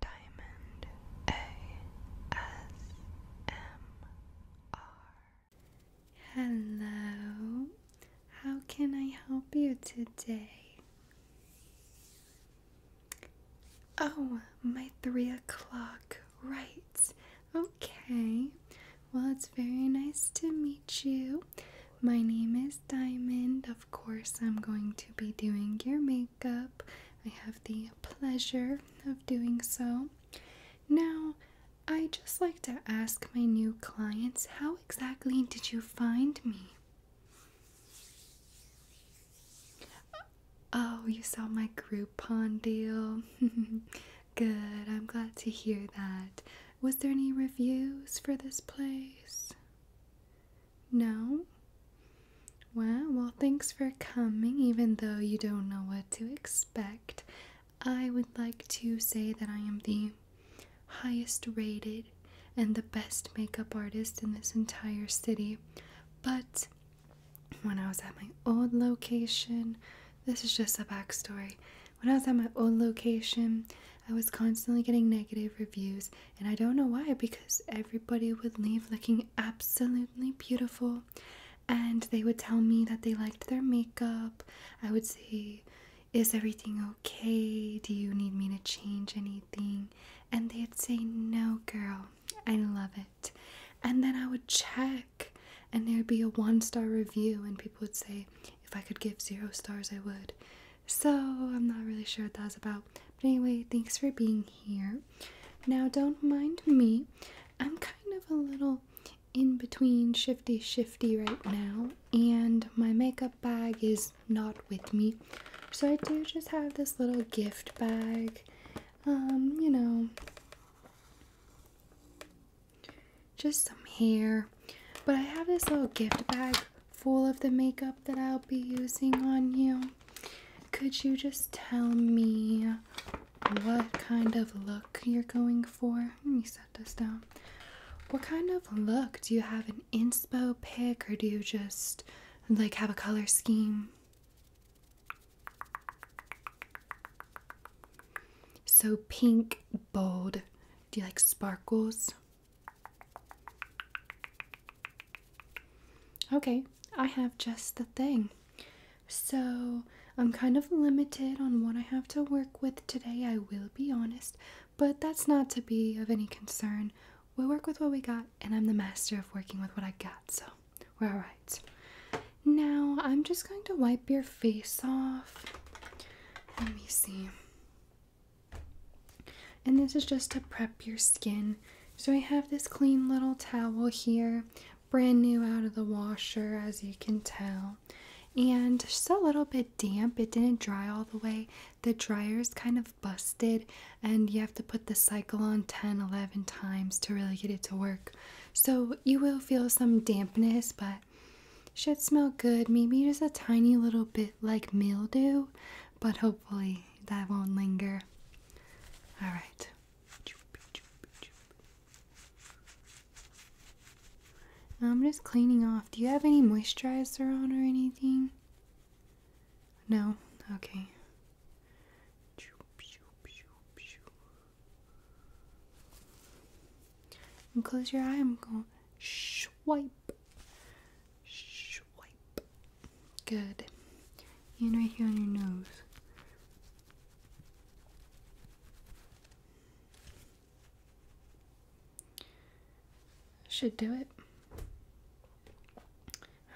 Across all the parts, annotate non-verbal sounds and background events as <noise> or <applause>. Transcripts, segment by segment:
Diamond ASMR. Hello, how can I help you today? Oh, my three o'clock, right. Okay, well, it's very nice to meet you. My name is Diamond. Of course, I'm going to be doing your makeup. Up, I have the pleasure of doing so. Now, I just like to ask my new clients how exactly did you find me? Oh, you saw my Groupon deal. <laughs> Good, I'm glad to hear that. Was there any reviews for this place? No? Well, well, thanks for coming, even though you don't know what to expect. I would like to say that I am the highest rated and the best makeup artist in this entire city. But when I was at my old location, this is just a backstory. When I was at my old location, I was constantly getting negative reviews and I don't know why, because everybody would leave looking absolutely beautiful. And they would tell me that they liked their makeup. I would say, Is everything okay? Do you need me to change anything? And they'd say, No, girl, I love it. And then I would check, and there'd be a one star review, and people would say, If I could give zero stars, I would. So I'm not really sure what that was about. But anyway, thanks for being here. Now, don't mind me. I'm kind of a little in between shifty shifty right now, and my makeup bag is not with me. So I do just have this little gift bag. Um, you know, just some hair. But I have this little gift bag full of the makeup that I'll be using on you. Could you just tell me what kind of look you're going for? Let me set this down. What kind of look? Do you have an inspo pick or do you just like have a color scheme? So pink, bold. Do you like sparkles? Okay, I have just the thing. So I'm kind of limited on what I have to work with today, I will be honest, but that's not to be of any concern. We'll work with what we got, and I'm the master of working with what I got, so we're alright. Now I'm just going to wipe your face off. Let me see. And this is just to prep your skin. So I have this clean little towel here, brand new out of the washer, as you can tell. And just a little bit damp, it didn't dry all the way. The dryer's kind of busted, and you have to put the cycle on 10, 11 times to really get it to work. So you will feel some dampness, but should smell good. Maybe just a tiny little bit like mildew but hopefully that won't linger. All right. I'm just cleaning off. Do you have any moisturizer on or anything? No? Okay. And close your eye. I'm going to swipe, Swipe. Good. And right here on your nose. Should do it.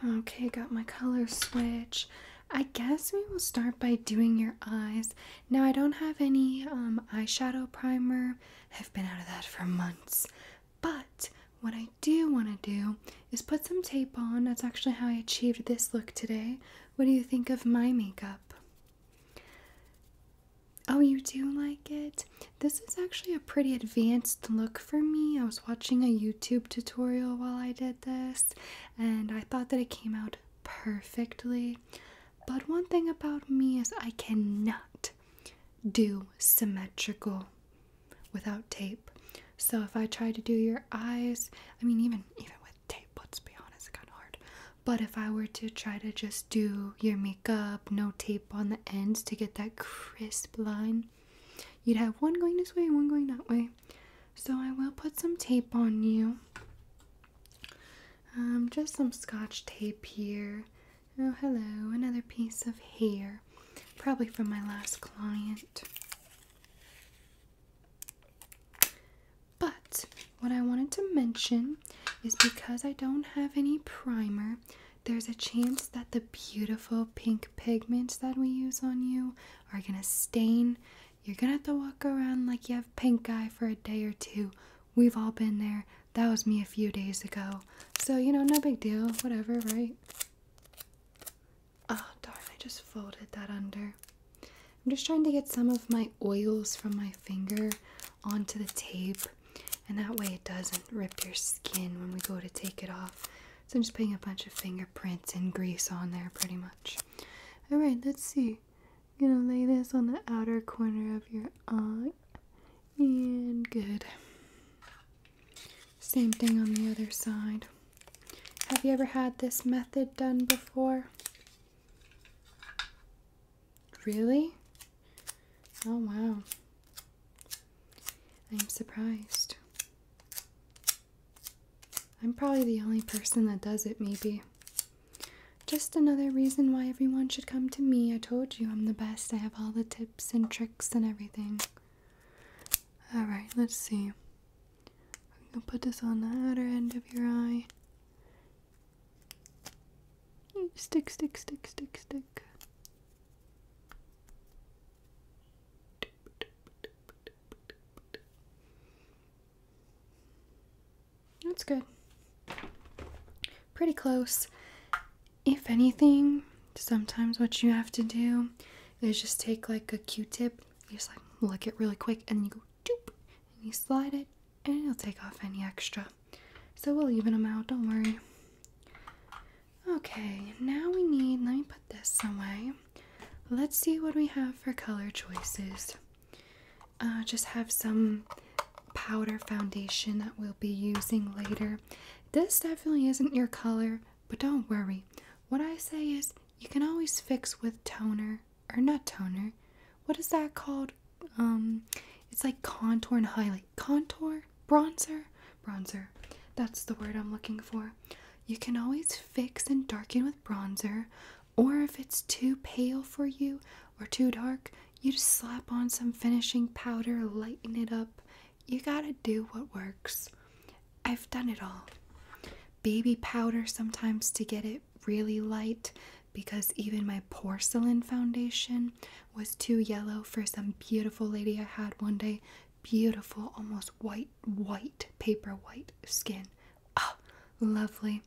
Okay, got my color switch. I guess we will start by doing your eyes. Now, I don't have any um, eyeshadow primer. I've been out of that for months, but what I do want to do is put some tape on. That's actually how I achieved this look today. What do you think of my makeup? Oh, you do like it? This is actually a pretty advanced look for me. I was watching a YouTube tutorial while I did this, and I thought that it came out perfectly. But one thing about me is I cannot do symmetrical without tape. So if I try to do your eyes, I mean even even with tape, let's be honest, it's kind of hard. But if I were to try to just do your makeup, no tape on the ends to get that crisp line, you'd have one going this way one going that way. So I will put some tape on you. Um, just some scotch tape here. Oh, hello, another piece of hair. Probably from my last client. But what I wanted to mention is because I don't have any primer, there's a chance that the beautiful pink pigments that we use on you are gonna stain. You're gonna have to walk around like you have pink eye for a day or two. We've all been there. That was me a few days ago. So, you know, no big deal. Whatever, right? Oh, darn, I just folded that under. I'm just trying to get some of my oils from my finger onto the tape. And that way it doesn't rip your skin when we go to take it off. So I'm just putting a bunch of fingerprints and grease on there pretty much. Alright, let's see. gonna lay this on the outer corner of your eye. And good. Same thing on the other side. Have you ever had this method done before? Really? Oh wow. I'm surprised. I'm probably the only person that does it, maybe. Just another reason why everyone should come to me. I told you I'm the best. I have all the tips and tricks and everything. Alright, let's see. I'm gonna put this on the outer end of your eye. Stick, stick, stick, stick, stick. That's good. Pretty close if anything, sometimes what you have to do is just take like a Q-tip, just like lick it really quick, and you go doop, and you slide it, and it'll take off any extra. So we'll even them out. Don't worry. Okay, now we need. Let me put this away. Let's see what we have for color choices. Uh, just have some powder foundation that we'll be using later this definitely isn't your color, but don't worry. What I say is you can always fix with toner or not toner. What is that called? Um it's like contour and highlight. Contour? Bronzer? Bronzer. That's the word I'm looking for. You can always fix and darken with bronzer, or if it's too pale for you or too dark, you just slap on some finishing powder, lighten it up, you gotta do what works. I've done it all. Baby powder sometimes to get it really light because even my porcelain foundation was too yellow for some beautiful lady I had one day. Beautiful, almost white, white, paper white skin. Ah, oh, lovely.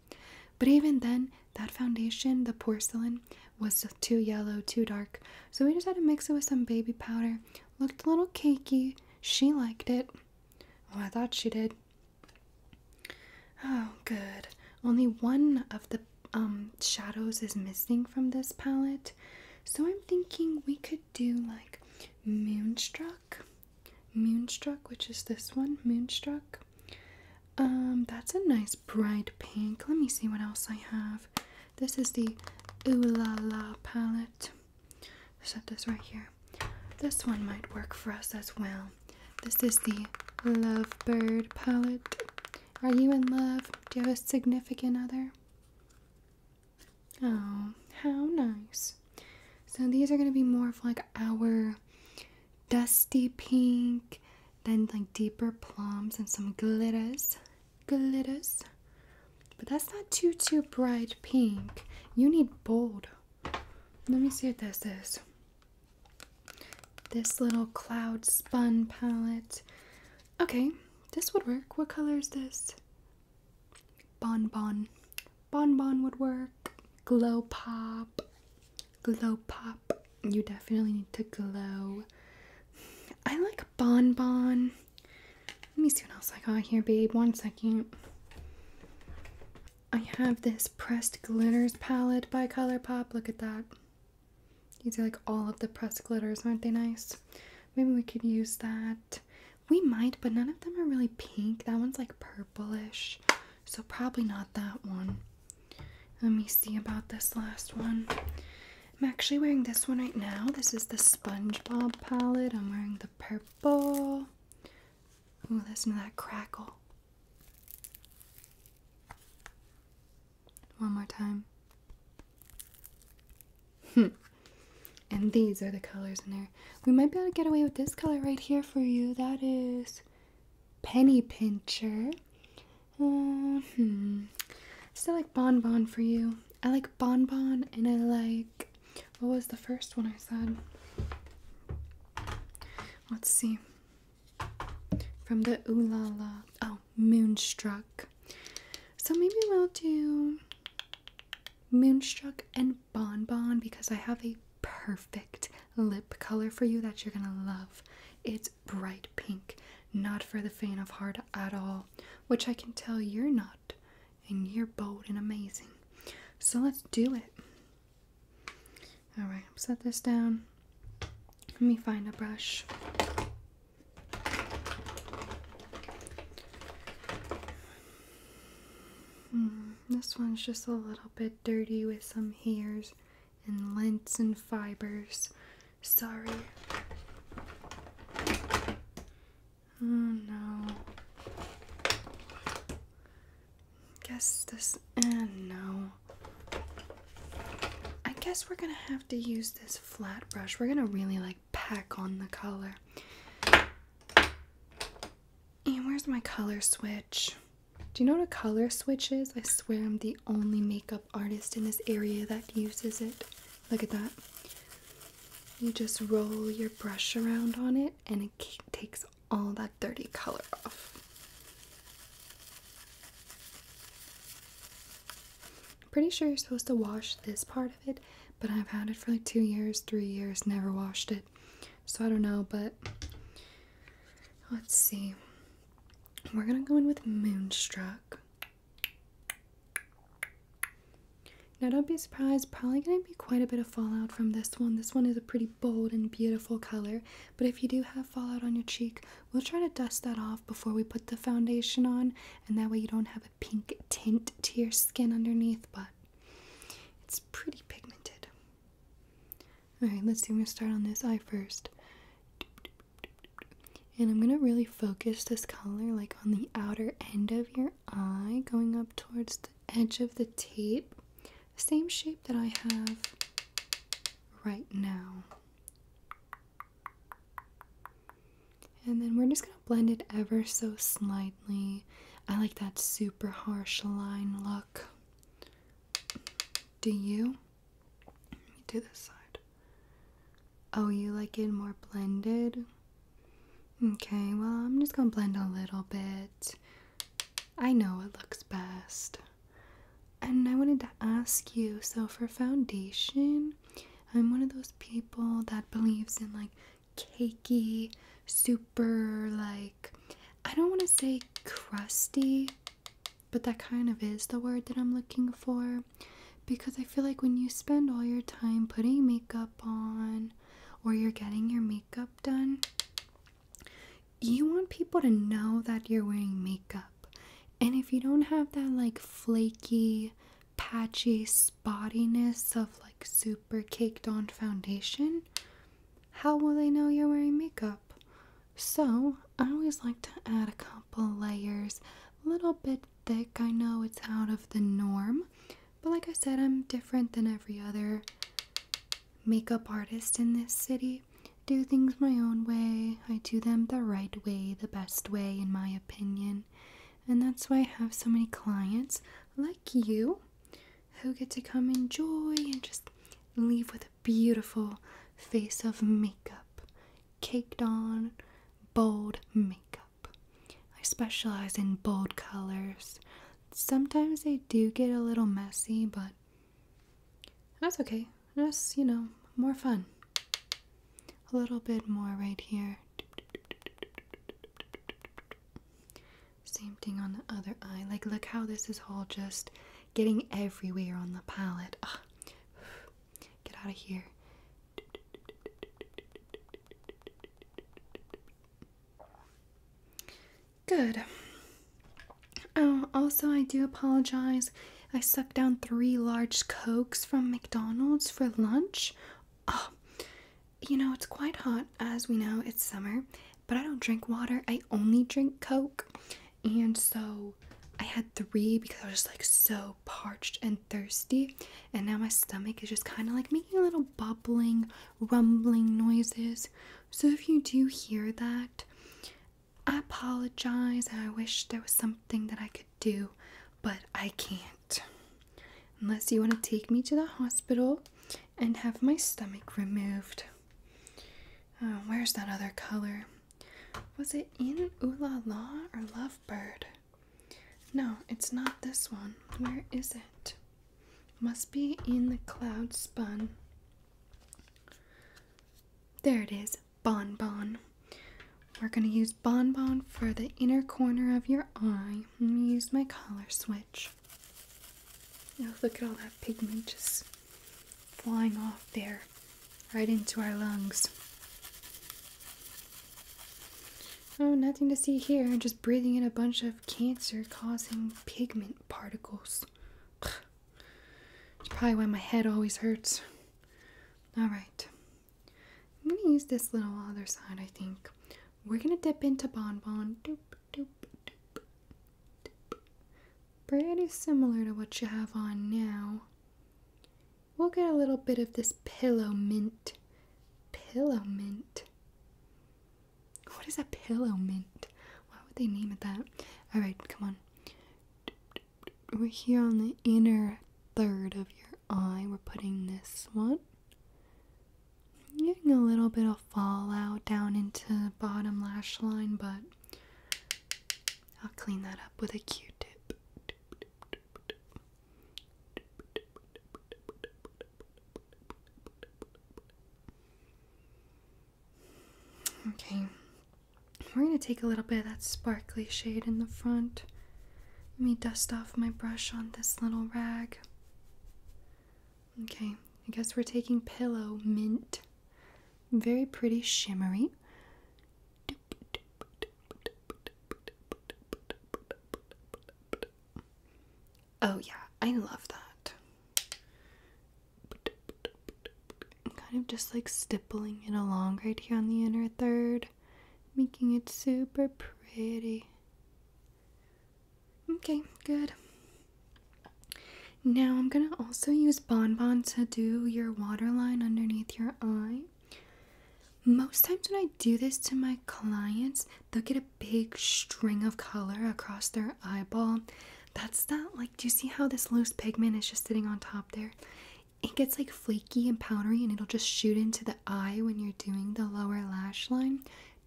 But even then, that foundation, the porcelain, was too yellow, too dark. So we just had to mix it with some baby powder. Looked a little cakey. She liked it. Oh, I thought she did. Oh, good. Only one of the um, shadows is missing from this palette. So I'm thinking we could do like Moonstruck. Moonstruck, which is this one, Moonstruck. Um, that's a nice bright pink. Let me see what else I have. This is the Ooh La La palette. Set this right here. This one might work for us as well. This is the Love Bird palette. Are you in love? Do you have a significant other? Oh, how nice. So these are going to be more of like our dusty pink, then like deeper plums and some glitters glitters. But that's not too, too bright pink. You need bold. Let me see what this is. This little cloud spun palette. Okay, this would work. What color is this? Bonbon, bonbon would work. Glow Pop. Glow Pop you definitely need to glow. I like Bon Bon. Let me see what else I got here, babe. One second. I have this pressed glitters palette by ColourPop. Look at that. These are like all of the pressed glitters, aren't they nice? Maybe we could use that. We might, but none of them are really pink. That one's like purplish. So probably not that one. Let me see about this last one. I'm actually wearing this one right now. This is the SpongeBob palette. I'm wearing the purple. Oh, listen to that crackle. One more time. <laughs> and these are the colors in there. We might be able to get away with this color right here for you. That is Penny Pincher. Oh, hmm. Still like Bon Bon for you. I like Bon Bon and I like. What was the first one I said? Let's see. From the Ooh La La. Oh, Moonstruck. So maybe we'll do Moonstruck and Bon Bon because I have a perfect lip color for you that you're gonna love. It's bright pink, not for the faint of heart at all, which I can tell you're not, and you're bold and amazing. So let's do it. Alright, set this down. Let me find a brush. Hmm, this one's just a little bit dirty with some hairs and lengths and fibers. Sorry. Oh no. Guess this. And eh, no. I guess we're gonna have to use this flat brush. We're gonna really like pack on the color. And where's my color switch? Do you know what a color switch is? I swear I'm the only makeup artist in this area that uses it. Look at that. You just roll your brush around on it and it takes all that dirty color off. pretty sure you're supposed to wash this part of it, but I've had it for like two years, three years, never washed it. So I don't know, but let's see. We're gonna go in with Moonstruck. Now, don't be surprised, probably going to be quite a bit of fallout from this one. This one is a pretty bold and beautiful color, but if you do have fallout on your cheek, we'll try to dust that off before we put the foundation on, and that way you don't have a pink tint to your skin underneath, but it's pretty pigmented. Alright, let's see. We am going to start on this eye first. And I'm gonna really focus this color like on the outer end of your eye, going up towards the edge of the tape. Same shape that I have right now. And then we're just gonna blend it ever so slightly. I like that super harsh line look. Do you? do this side. Oh, you like it more blended? Okay, well, I'm just gonna blend a little bit. I know it looks best. And I wanted to ask you so, for foundation, I'm one of those people that believes in like cakey, super, like, I don't want to say crusty but that kind of is the word that I'm looking for because I feel like when you spend all your time putting makeup on or you're getting your makeup done, you want people to know that you're wearing makeup. And if you don't have that like flaky, patchy spottiness of like super caked on foundation, how will they know you're wearing makeup? So, I always like to add a couple layers, a little bit thick. I know it's out of the norm, but like I said, I'm different than every other makeup artist in this city. Do things my own way, I do them the right way, the best way, in my opinion. And that's why I have so many clients like you who get to come enjoy and just leave with a beautiful face of makeup, caked on bold makeup. I specialize in bold colors. Sometimes they do get a little messy, but that's okay. That's, you know, more fun. A little bit more right here. Same thing on the other eye. Like, look how this is all just getting everywhere on the palette. Ah. Get out of here. Good. Oh, also, I do apologize. I sucked down three large cokes from McDonald's for lunch. Oh, you know, it's quite hot. As we know, it's summer, but I don't drink water. I only drink Coke and so I had three because I was just like so parched and thirsty, and now my stomach is just kind of like making a little bubbling, rumbling noises. So if you do hear that, I apologize and I wish there was something that I could do, but I can't. Unless you want to take me to the hospital and have my stomach removed. Uh, where's that other color? Was it in Ooh Law or Lovebird? No, it's not this one. Where is it? Must be in the Cloud Spun. There it is, Bonbon. Bon. We're going to use Bonbon bon for the inner corner of your eye. Let me use my color switch. Oh, look at all that pigment just flying off there, right into our lungs. Oh, nothing to see here. just breathing in a bunch of cancer causing pigment particles. It's probably why my head always hurts. Alright. I'm going to use this little other side, I think. We're going to dip into Bonbon pretty similar to what you have on now. We'll get a little bit of this pillow mint. Pillow mint. What is a pillow mint? Why would they name it that? Alright, come on. We're here on the inner third of your eye. We're putting this one. Getting a little bit of fallout down into the bottom lash line, but I'll clean that up with a Q-tip. Okay, we're going to take a little bit of that sparkly shade in the front. Let me dust off my brush on this little rag. Okay, I guess we're taking Pillow Mint very pretty shimmery. Oh, yeah, I love that. I'm kind of just like stippling it along right here on the inner third, making it super pretty. Okay, good. Now I'm gonna also use Bonbon to do your waterline underneath your eye. Most times when I do this to my clients, they'll get a big string of color across their eyeball. That's that, like, do you see how this loose pigment is just sitting on top there? It gets like flaky and powdery and it'll just shoot into the eye when you're doing the lower lash line.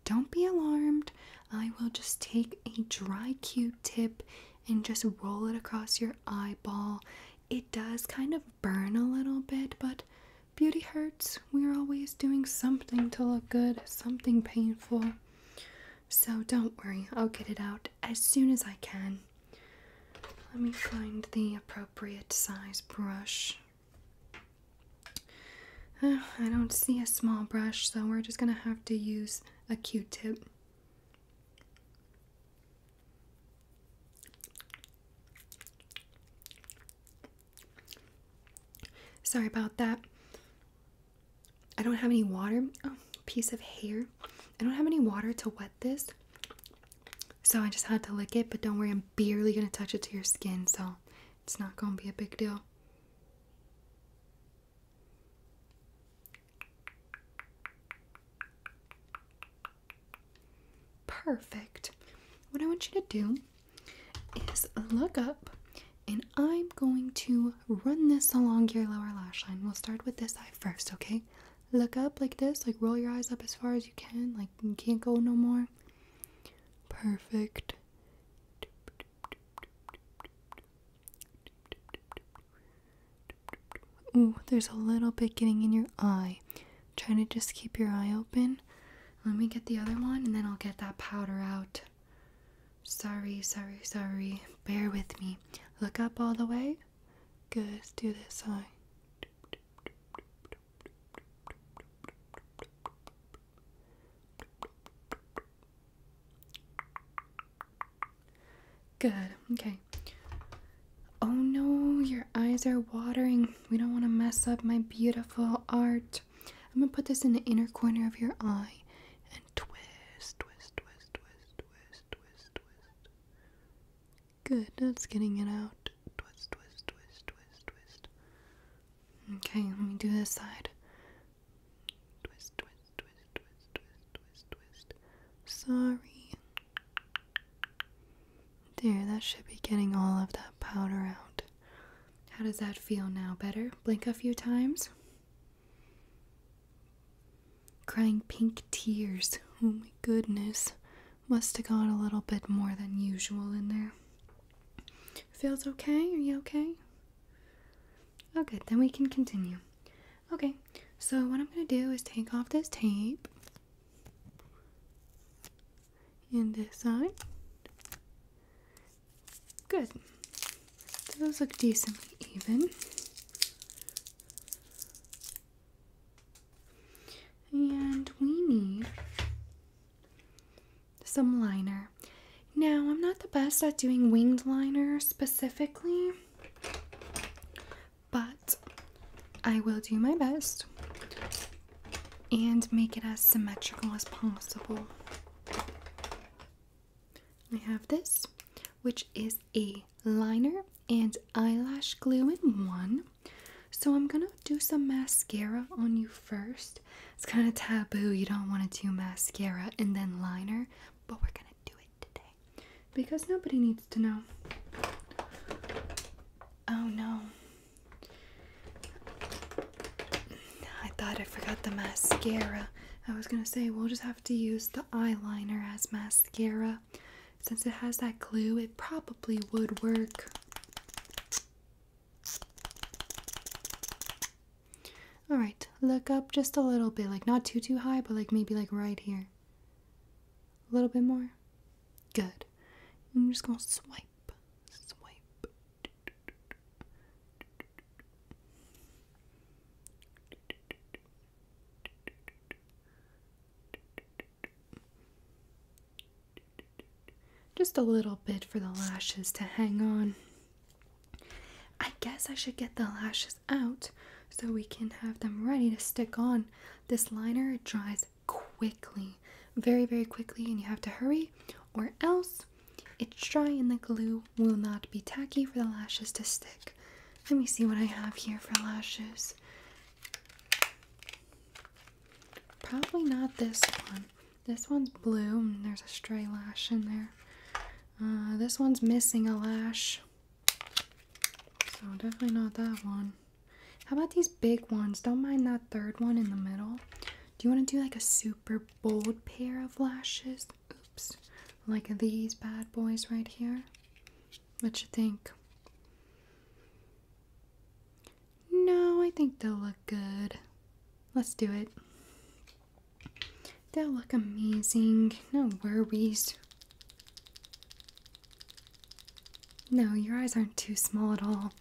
Don't be alarmed. I will just take a dry Q tip and just roll it across your eyeball. It does kind of burn a little bit, but beauty hurts. We're always doing something to look good, something painful. So don't worry, I'll get it out as soon as I can. Let me find the appropriate size brush. Uh, I don't see a small brush, so we're just gonna have to use a q tip. Sorry about that. I don't have any water. Oh, piece of hair. I don't have any water to wet this. So I just had to lick it, but don't worry, I'm barely going to touch it to your skin, so it's not going to be a big deal. Perfect. What I want you to do is look up and I'm going to run this along your lower lash line. We'll start with this eye first, okay? Look up like this, like roll your eyes up as far as you can, like you can't go no more. Perfect. Ooh, there's a little bit getting in your eye. Trying to just keep your eye open. Let me get the other one and then I'll get that powder out. Sorry, sorry, sorry. Bear with me. Look up all the way. Good, let do this eye. Good. Okay. Oh no, your eyes are watering. We don't want to mess up my beautiful art. I'm going to put this in the inner corner of your eye and twist, twist, twist, twist, twist, twist, twist. Good. That's getting it out. Twist, twist, twist, twist, twist. Okay, let me do this side. Twist, twist, twist, twist, twist, twist, twist. Sorry. There, that should be getting all of that powder out. How does that feel now? Better? Blink a few times. Crying pink tears. Oh my goodness. Must have got a little bit more than usual in there. Feels okay? Are you okay? Okay. Oh, then we can continue. Okay, so what I'm going to do is take off this tape and this side. Good. So those look decently even. And we need some liner. Now, I'm not the best at doing winged liner specifically. But I will do my best and make it as symmetrical as possible. I have this, which is a liner and eyelash glue in one. So I'm gonna do some mascara on you first. It's kind of taboo, you don't want to do mascara and then liner, but we're gonna do it today because nobody needs to know. Oh no. I thought I forgot the mascara. I was gonna say we'll just have to use the eyeliner as mascara. Since it has that glue, it probably would work. All right, look up just a little bit, like not too too high, but like maybe like right here. A little bit more. Good. I'm just gonna swipe, swipe. Just a little bit for the lashes to hang on. I guess I should get the lashes out so we can have them ready to stick on. This liner dries quickly, very, very quickly, and you have to hurry or else it's dry and the glue will not be tacky for the lashes to stick. Let me see what I have here for lashes. Probably not this one. This one's blue there's a stray lash in there. Uh, this one's missing a lash. So definitely not that one. How about these big ones? Don't mind that third one in the middle. Do you want to do like a super bold pair of lashes? Oops. Like these bad boys right here? What you think? No, I think they'll look good. Let's do it. They'll look amazing. No worries. No, your eyes aren't too small at all.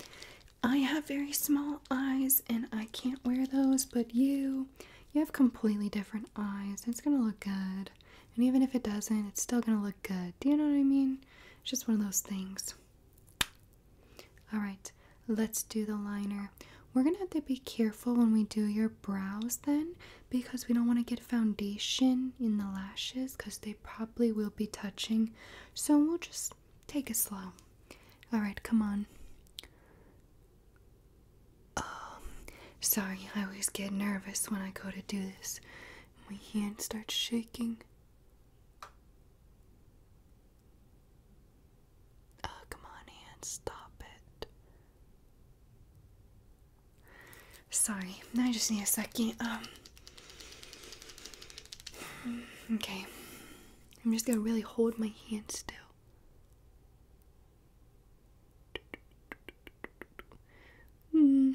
I have very small eyes and I can't wear those, but you, you have completely different eyes. It's gonna look good. And even if it doesn't, it's still gonna look good. Do you know what I mean? It's just one of those things. Alright, let's do the liner. We're gonna have to be careful when we do your brows then because we don't want to get foundation in the lashes because they probably will be touching. So we'll just take it slow. Alright, come on. Um, sorry, I always get nervous when I go to do this. My hand starts shaking. Uh, come on, Anne, stop it. Sorry, I just need a second. Um. Okay. I'm just gonna really hold my hand still. Hmm.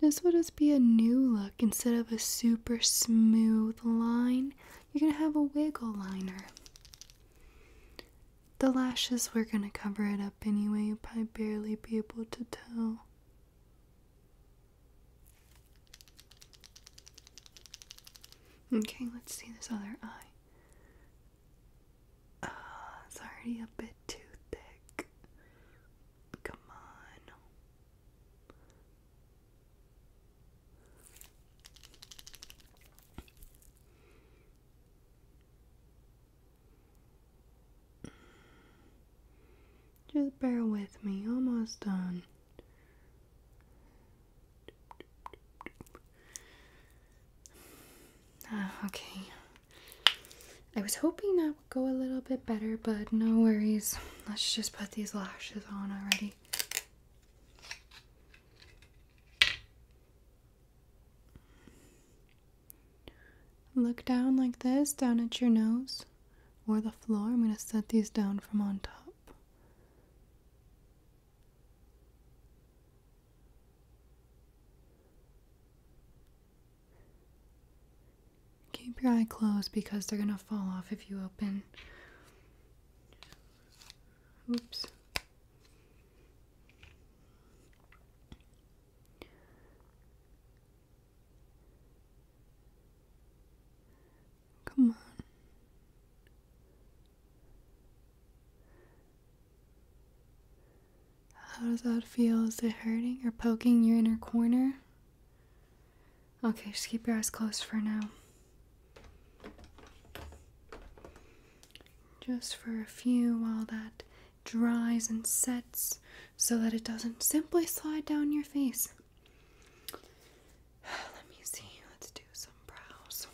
This will just be a new look instead of a super smooth line. You're gonna have a wiggle liner. The lashes were going to cover it up anyway. You'll probably barely be able to tell. Okay, let's see this other eye. Uh, it's already a bit too thick. Come on. Just bear with me, almost done. Ah, okay. I was hoping that would go a little bit better, but no worries. Let's just put these lashes on already. Look down like this, down at your nose or the floor. I'm going to set these down from on top. Keep your eye closed because they're going to fall off if you open. Oops. Come on. How does that feel? Is it hurting or poking your inner corner? Okay, just keep your eyes closed for now. Just for a few while that dries and sets so that it doesn't simply slide down your face. <sighs> Let me see, let's do some brows.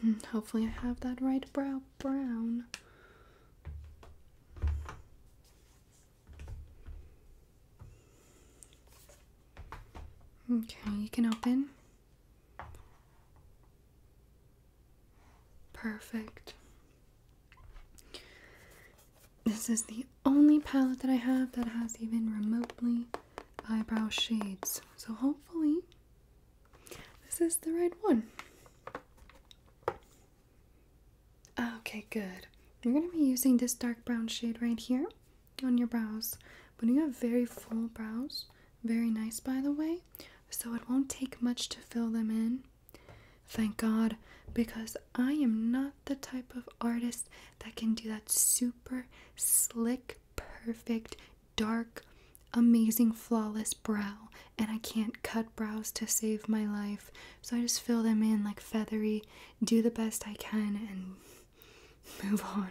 Hmm, hopefully, I have that right brow brown. Okay, you can open. Perfect. This is the only palette that I have that has even remotely eyebrow shades. So hopefully this is the right one. Okay, good. We're going to be using this dark brown shade right here on your brows. But you have very full brows, very nice by the way, so it won't take much to fill them in. Thank God, because I am not the type of artist that can do that super slick, perfect, dark, amazing, flawless brow. And I can't cut brows to save my life. So I just fill them in like feathery, do the best I can, and <laughs> move on.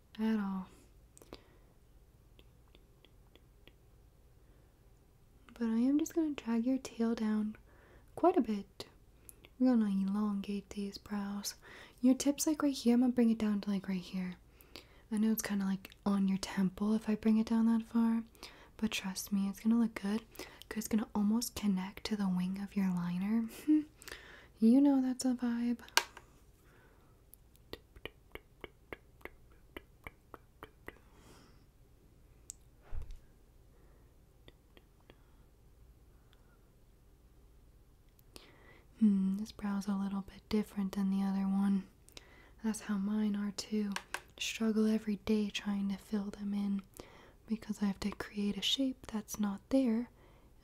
at all. But I am just going to drag your tail down quite a bit. We're going to elongate these brows. Your tip's like right here. I'm going to bring it down to like right here. I know it's kind of like on your temple if I bring it down that far. But trust me, it's going to look good because it's going to almost connect to the wing of your liner. <laughs> you know that's a vibe. Hmm, this is a little bit different than the other one. That's how mine are too. Struggle every day trying to fill them in because I have to create a shape that's not there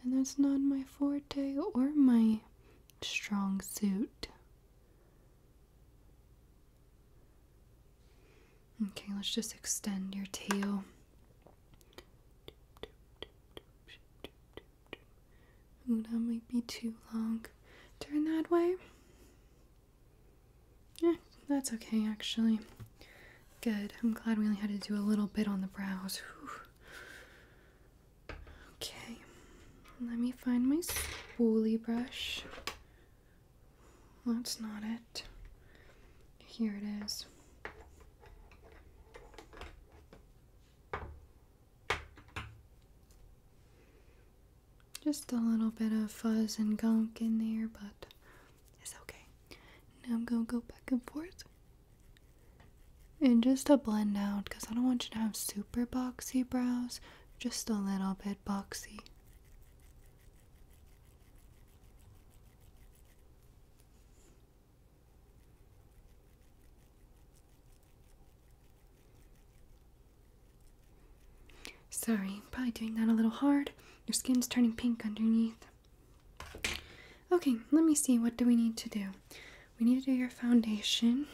and that's not my forte or my strong suit. Okay, let's just extend your tail. that might be too long. Turn that way. Yeah, that's okay actually. Good. I'm glad we only had to do a little bit on the brows. Okay, let me find my spoolie brush. That's not it. Here it is. Just a little bit of fuzz and gunk in there, but it's okay. Now I'm gonna go back and forth and just to blend out, because I don't want you to have super boxy brows, just a little bit boxy. Sorry, probably doing that a little hard. Your skin's turning pink underneath. Okay, let me see. What do we need to do? we need to do your foundation.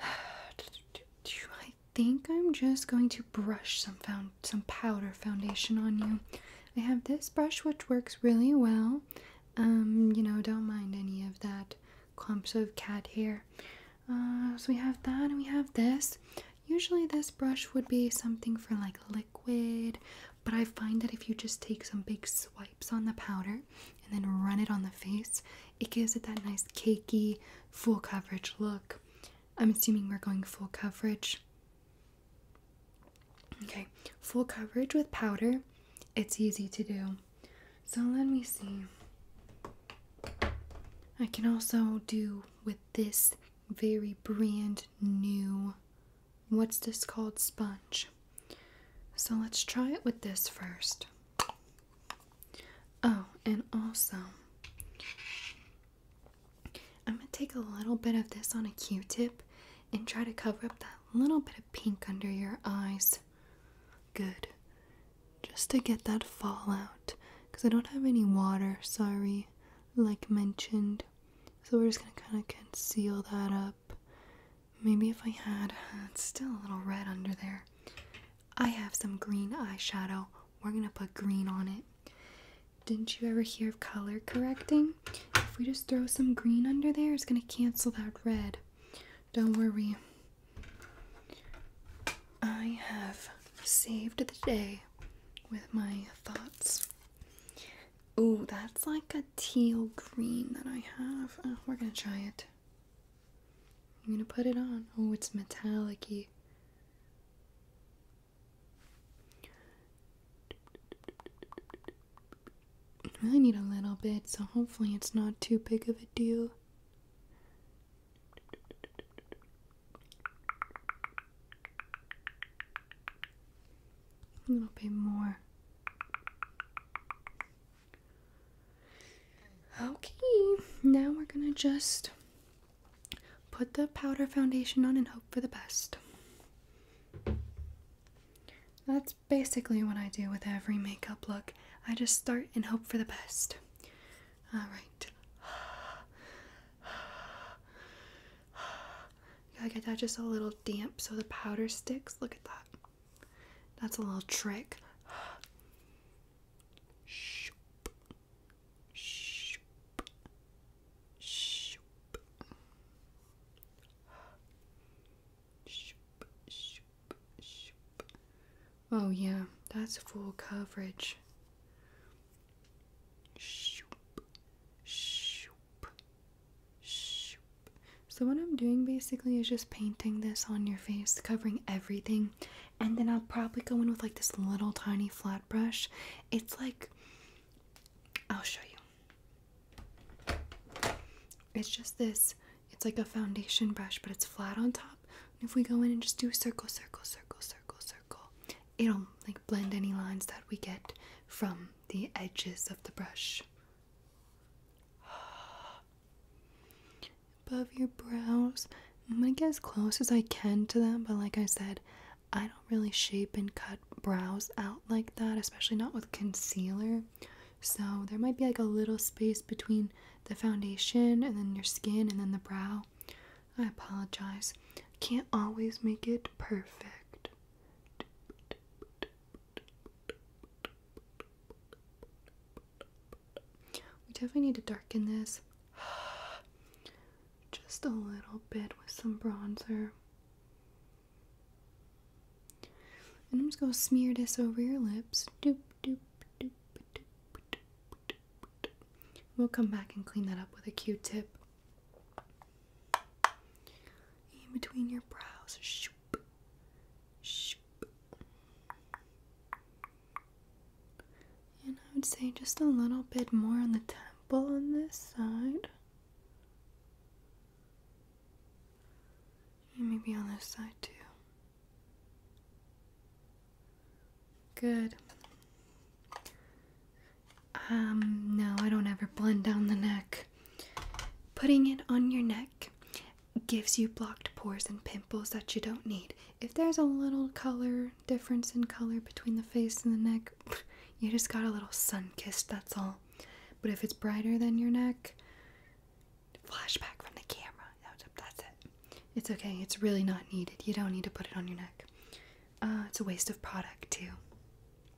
I <sighs> think I'm just going to brush some found some powder foundation on you. I have this brush which works really well. Um, you know, don't mind any of that clumps of cat hair. Uh, so we have that and we have this. Usually this brush would be something for like liquid but I find that if you just take some big swipes on the powder and then run it on the face, it gives it that nice cakey, full coverage look. I'm assuming we're going full coverage. Okay, full coverage with powder, it's easy to do. So let me see. I can also do with this very brand new What's this called? Sponge. So let's try it with this first. Oh, and also, I'm going to take a little bit of this on a q tip and try to cover up that little bit of pink under your eyes. Good. Just to get that fallout. Because I don't have any water, sorry like mentioned. So we're just gonna kind of conceal that up. Maybe if I had, <laughs> it's still a little red under there. I have some green eyeshadow. We're gonna put green on it. Didn't you ever hear of color correcting? If we just throw some green under there, it's gonna cancel that red. Don't worry. I have saved the day with my thoughts. Oh, that's like a teal green that I have. Oh, we're gonna try it. I'm gonna put it on. Oh, it's metallic -y. I need a little bit, so hopefully it's not too big of a deal. A little bit more. Okay, now we're gonna just put the powder foundation on and hope for the best. That's basically what I do with every makeup look. I just start and hope for the best. Alright. <sighs> like get that just a little damp so the powder sticks. Look at that. That's a little trick. Shoop. <sighs> Shoop. Shoop. Shoop. Shoop. Shoop. Oh yeah, that's full coverage. Shoop. Shoop. So what I'm doing basically is just painting this on your face, covering everything, and then I'll probably go in with like this little tiny flat brush. It's like I'll show you. It's just this, it's like a foundation brush, but it's flat on top. if we go in and just do circle, circle, circle, circle, circle, it'll like blend any lines that we get from the edges of the brush. <gasps> Above your brows. I'm gonna get as close as I can to them, but like I said, I don't really shape and cut brows out like that, especially not with concealer. So there might be like a little space between the foundation and then your skin and then the brow. I apologize. Can't always make it perfect. We definitely need to darken this <sighs> just a little bit with some bronzer. And I'm just gonna smear this over your lips. doop, doop, doop, doop, doop, doop. We'll come back and clean that up with a Q-tip in between your brows. Shoop. Shoop. And I would say just a little bit more on the temple on this side. maybe on this side too. Good. Um, no, I don't ever blend down the neck. Putting it on your neck gives you blocked pores and pimples that you don't need. If there's a little color difference in color between the face and the neck, <sniffs> you just got a little sun kissed, that's all. But if it's brighter than your neck, flashback from the camera. That's it. It's okay. It's really not needed. You don't need to put it on your neck. Uh, it's a waste of product, too.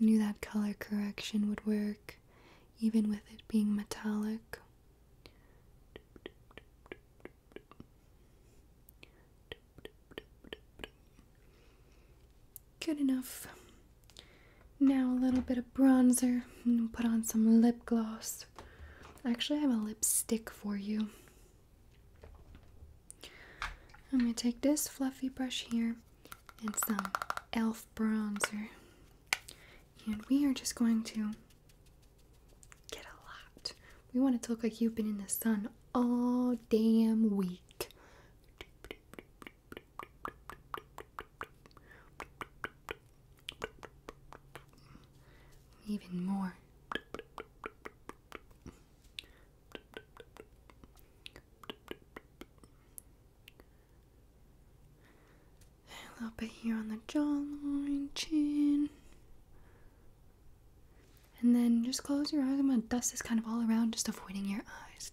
I knew that color correction would work, even with it being metallic. Good enough. Now a little bit of bronzer and put on some lip gloss. Actually, I have a lipstick for you. I'm going to take this fluffy brush here and some e.l.f. bronzer. And we are just going to get a lot. We want it to look like you've been in the sun all damn week. Even more. A little bit here on the jawline, chin. And then just close your eyes. I'm gonna dust this kind of all around, just avoiding your eyes.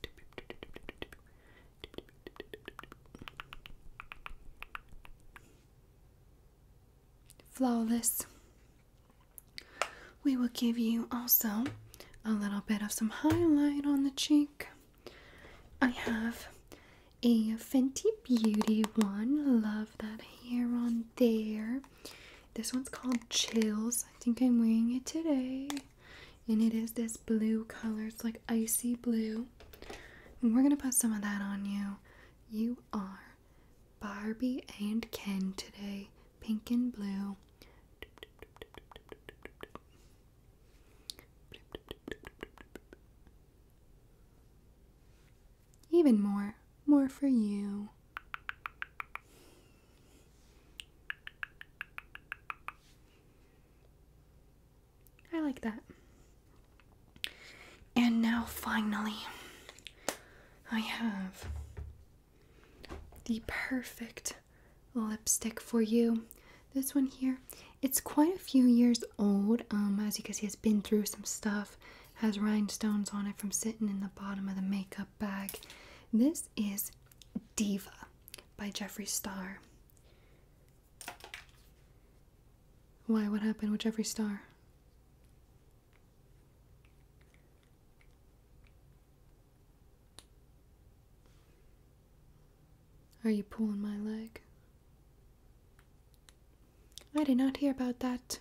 Flawless. We will give you also a little bit of some highlight on the cheek. I have a Fenty Beauty one. Love that hair on there. This one's called Chills. I think I'm wearing it today. And it is this blue color. It's like icy blue. And we're going to put some of that on you. You are Barbie and Ken today pink and blue. Even more, more for you. I like that. And now finally, I have the perfect lipstick for you. This one here, it's quite a few years old. Um, as you can see, it's been through some stuff. Has rhinestones on it from sitting in the bottom of the makeup bag. This is Diva by Jeffree Star. Why? What happened with Jeffree Star? Are you pulling my leg? I did not hear about that.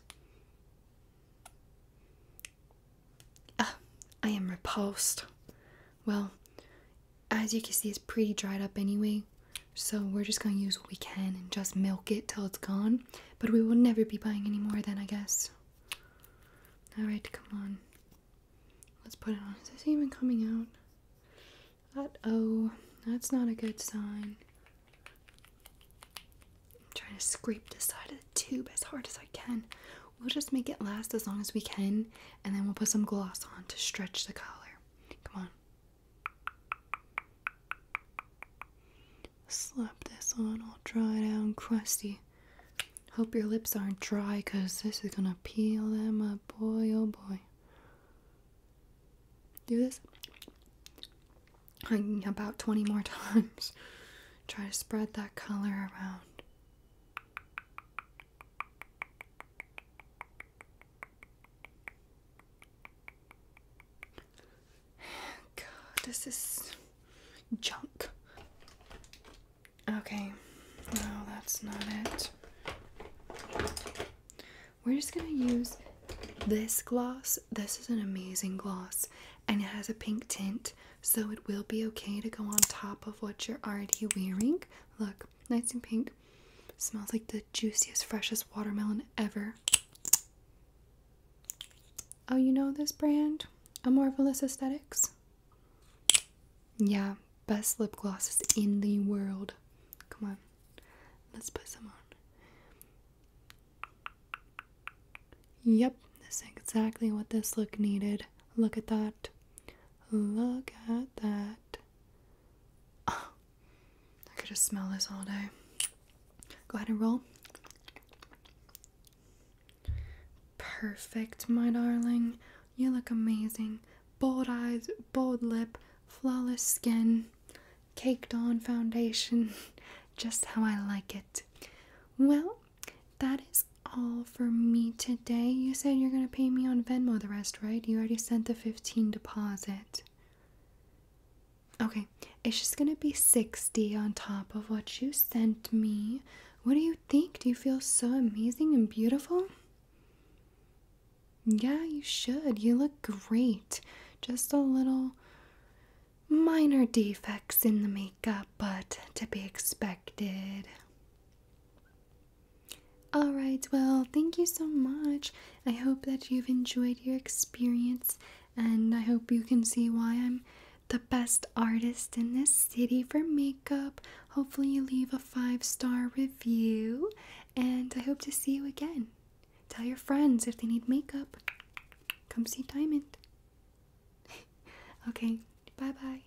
Ah, I am repulsed. Well, as you can see, it's pretty dried up anyway. So we're just gonna use what we can and just milk it till it's gone. But we will never be buying any more then, I guess. Alright, come on. Let's put it on. Is this even coming out? oh, that's not a good sign. I'm trying to scrape the side of the tube as hard as I can. We'll just make it last as long as we can, and then we'll put some gloss on to stretch the color. Come on. Slap this on all dried out and crusty. Hope your lips aren't dry, cause this is gonna peel them up, boy, oh boy. Do this about 20 more <laughs> times. Try to spread that color around. <sighs> God, this is junk. Okay, no, that's not it. We're just gonna use this gloss. This is an amazing gloss and it has a pink tint, so it will be okay to go on top of what you're already wearing. Look, nice and pink. Smells like the juiciest, freshest watermelon ever. Oh, you know this brand? A Marvelous Aesthetics? Yeah, best lip glosses in the world. Come on, let's put some on. Yep, that's exactly what this look needed. Look at that. Look at that. Oh, I could just smell this all day. Go ahead and roll. Perfect, my darling. You look amazing. Bold eyes, bold lip, flawless skin, caked on foundation. <laughs> Just how I like it. Well, that is all for me today. You said you're going to pay me on Venmo the rest, right? You already sent the 15 deposit. Okay, it's just going to be 60 on top of what you sent me. What are you think? Do you feel so amazing and beautiful? Yeah, you should. You look great. Just a little minor defects in the makeup, but to be expected. All right, well, thank you so much. I hope that you've enjoyed your experience, and I hope you can see why I'm the best artist in this city for makeup. Hopefully, you leave a five star review, and I hope to see you again. Tell your friends if they need makeup. Come see Diamond. <laughs> okay, bye bye.